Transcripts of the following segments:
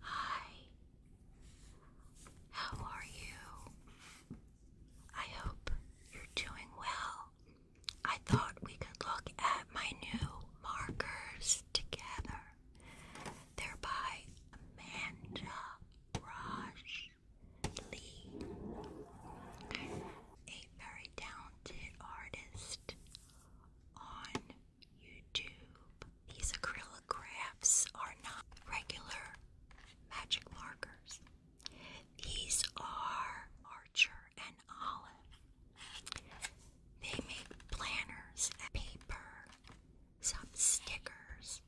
Hi. How are you? I hope you're doing well. I thought we could look at my new markers together. They're by Amanda Raj Lee, a very talented artist on YouTube. These acrylic crafts are not regular magic markers. These are Archer and Olive. They make planners and paper, some stickers,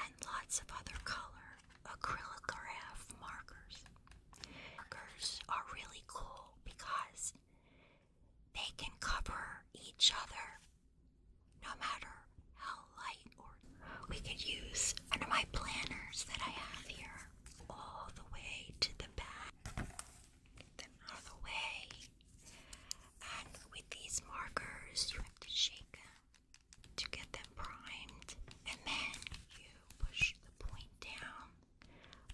and lots of other color acrylograph markers. Markers are really cool because they can cover each other no matter how light or we could use one my planners that I have here all the way to the back, all the way. And with these markers, you have to shake them to get them primed, and then you push the point down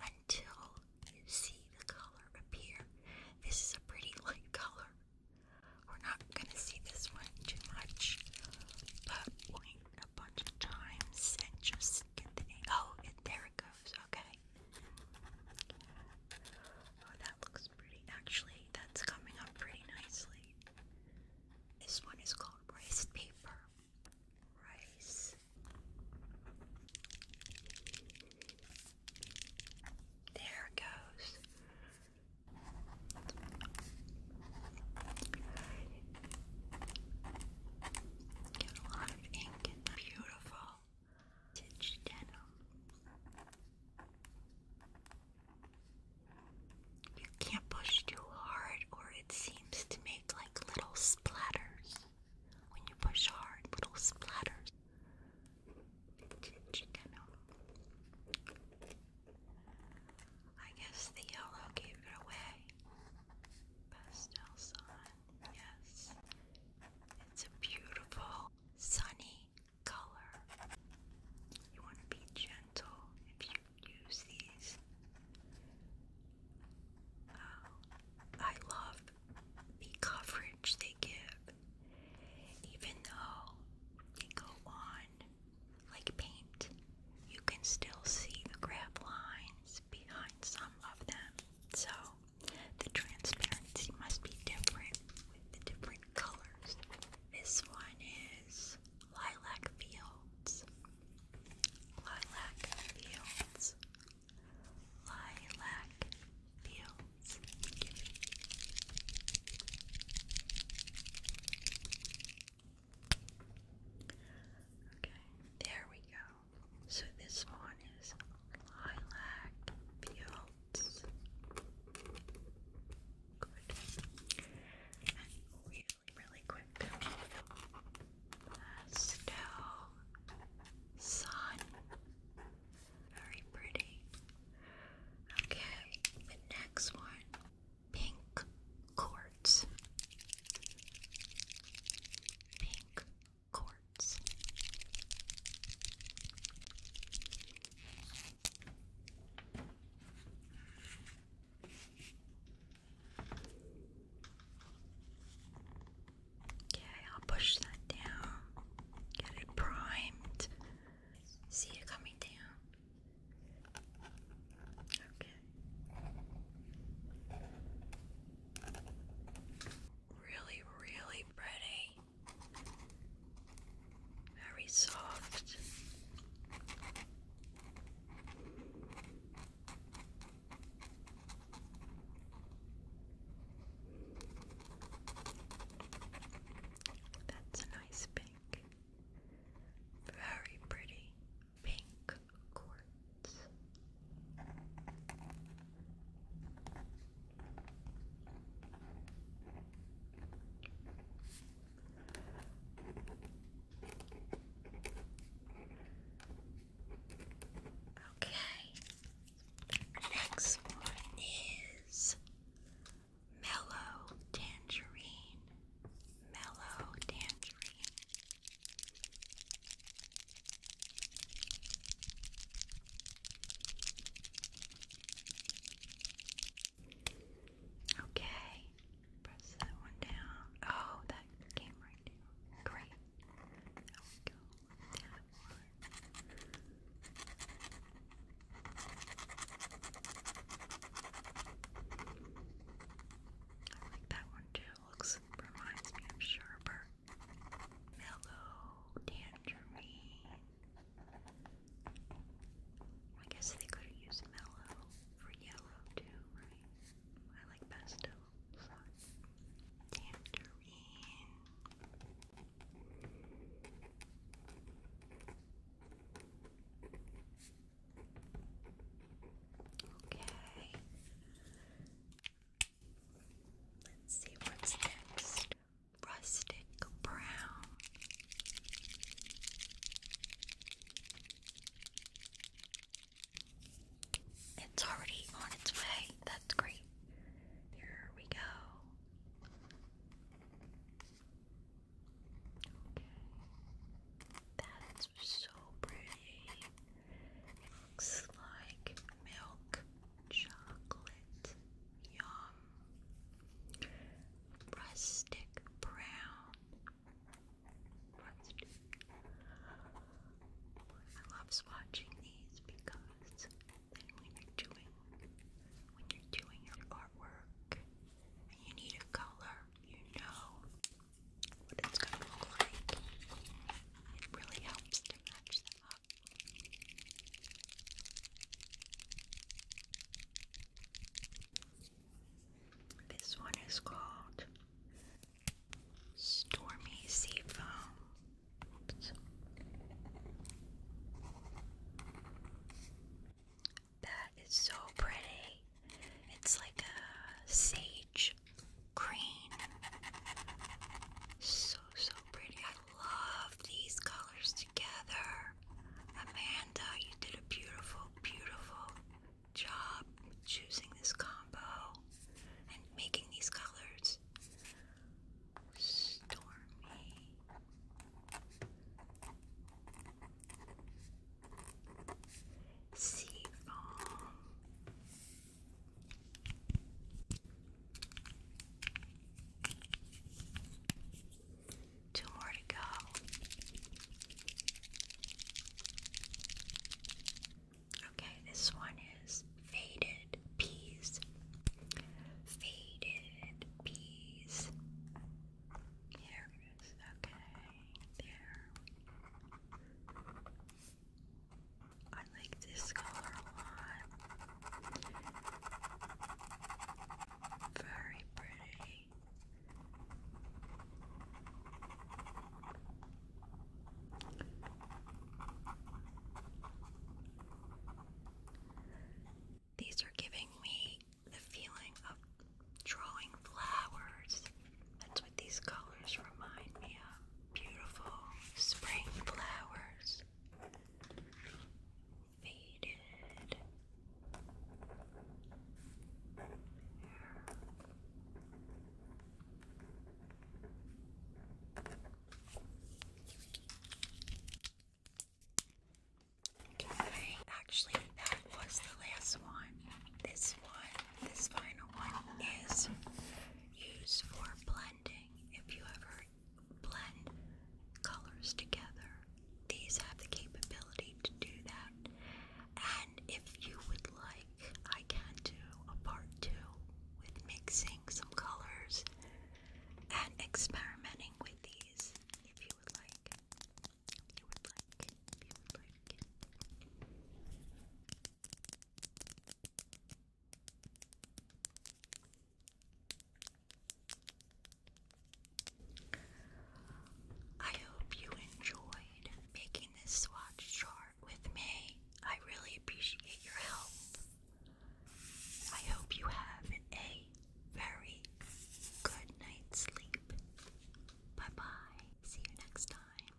until you see the color appear. This is a pretty light color. We're not going to see this one too much, but wait a bunch of times and just get the name. Oh, and there it goes. Okay. Oh, that looks pretty. Actually, that's coming up pretty nicely. This one is called rice paper. Rice there it goes. Get a lot of ink beautiful stitch denim. You can't push too hard, or it seems to make like little splatters. When you push hard, little splatters I guess the yellow gave it away. Pastel sun, yes. It's a beautiful, sunny color. You want to be gentle if you use these. Uh, I love the coverage they give, even though they go on like paint, you can still see the graph lines behind some of them. So the transparency must be different with the different colors. This one is Lilac Fields. Lilac Fields lilac feels. Okay, there we go. So this one is lilac fields. Good. And really, really quick snow, sun. Very pretty. Okay, the next one pink quartz. Pink quartz. Okay, I'll push that down. Get it primed. See it coming down. Okay. Really, really pretty. Very soft. That's a nice pink. Very pretty pink quartz. Okay. next one is mellow tangerine. Mellow tangerine. Okay. Press that one down. Oh, that came right down. Great. There we go. I like that one too. Looks reminds me of Sharper. Mellow tangerine. I guess they could have used mellow for yellow too, right? I like pastel. Tangerine. Okay. Let's see what's next. Rustic brown. It's already on its way. That's great. There we go. Okay. That's so pretty. looks like milk chocolate. Yum. Rustic brown I love swatching these because when you're doing when you're doing your artwork and you need a color, you know what it's gonna look like. It really helps to match them up. This one is called Stormy Sea Foam. That is so pretty. It's like a sage green. So, so pretty. I love these colors together. Amanda, you did a beautiful, beautiful job choosing this combo and making these colors. Stormy. Sea Two more to go. Okay, this one is faded peas. Faded peas. There it is. Okay, there. I like this color a lot. Very pretty. These are giving me the feeling of drawing flowers. That's what these colors remind me of. Beautiful spring flowers. Okay, actually, that was the last one. This one, this final one, is used for blending. If you ever blend colors together, these have the capability to do that. And if you would like, I can do a part two with mixing some colors and experimenting with these if you would like. If you would like, if you would like. I hope you enjoyed making this swatch chart with me. I really appreciate your help. I hope you have a very good night's sleep. Bye bye. See you next time.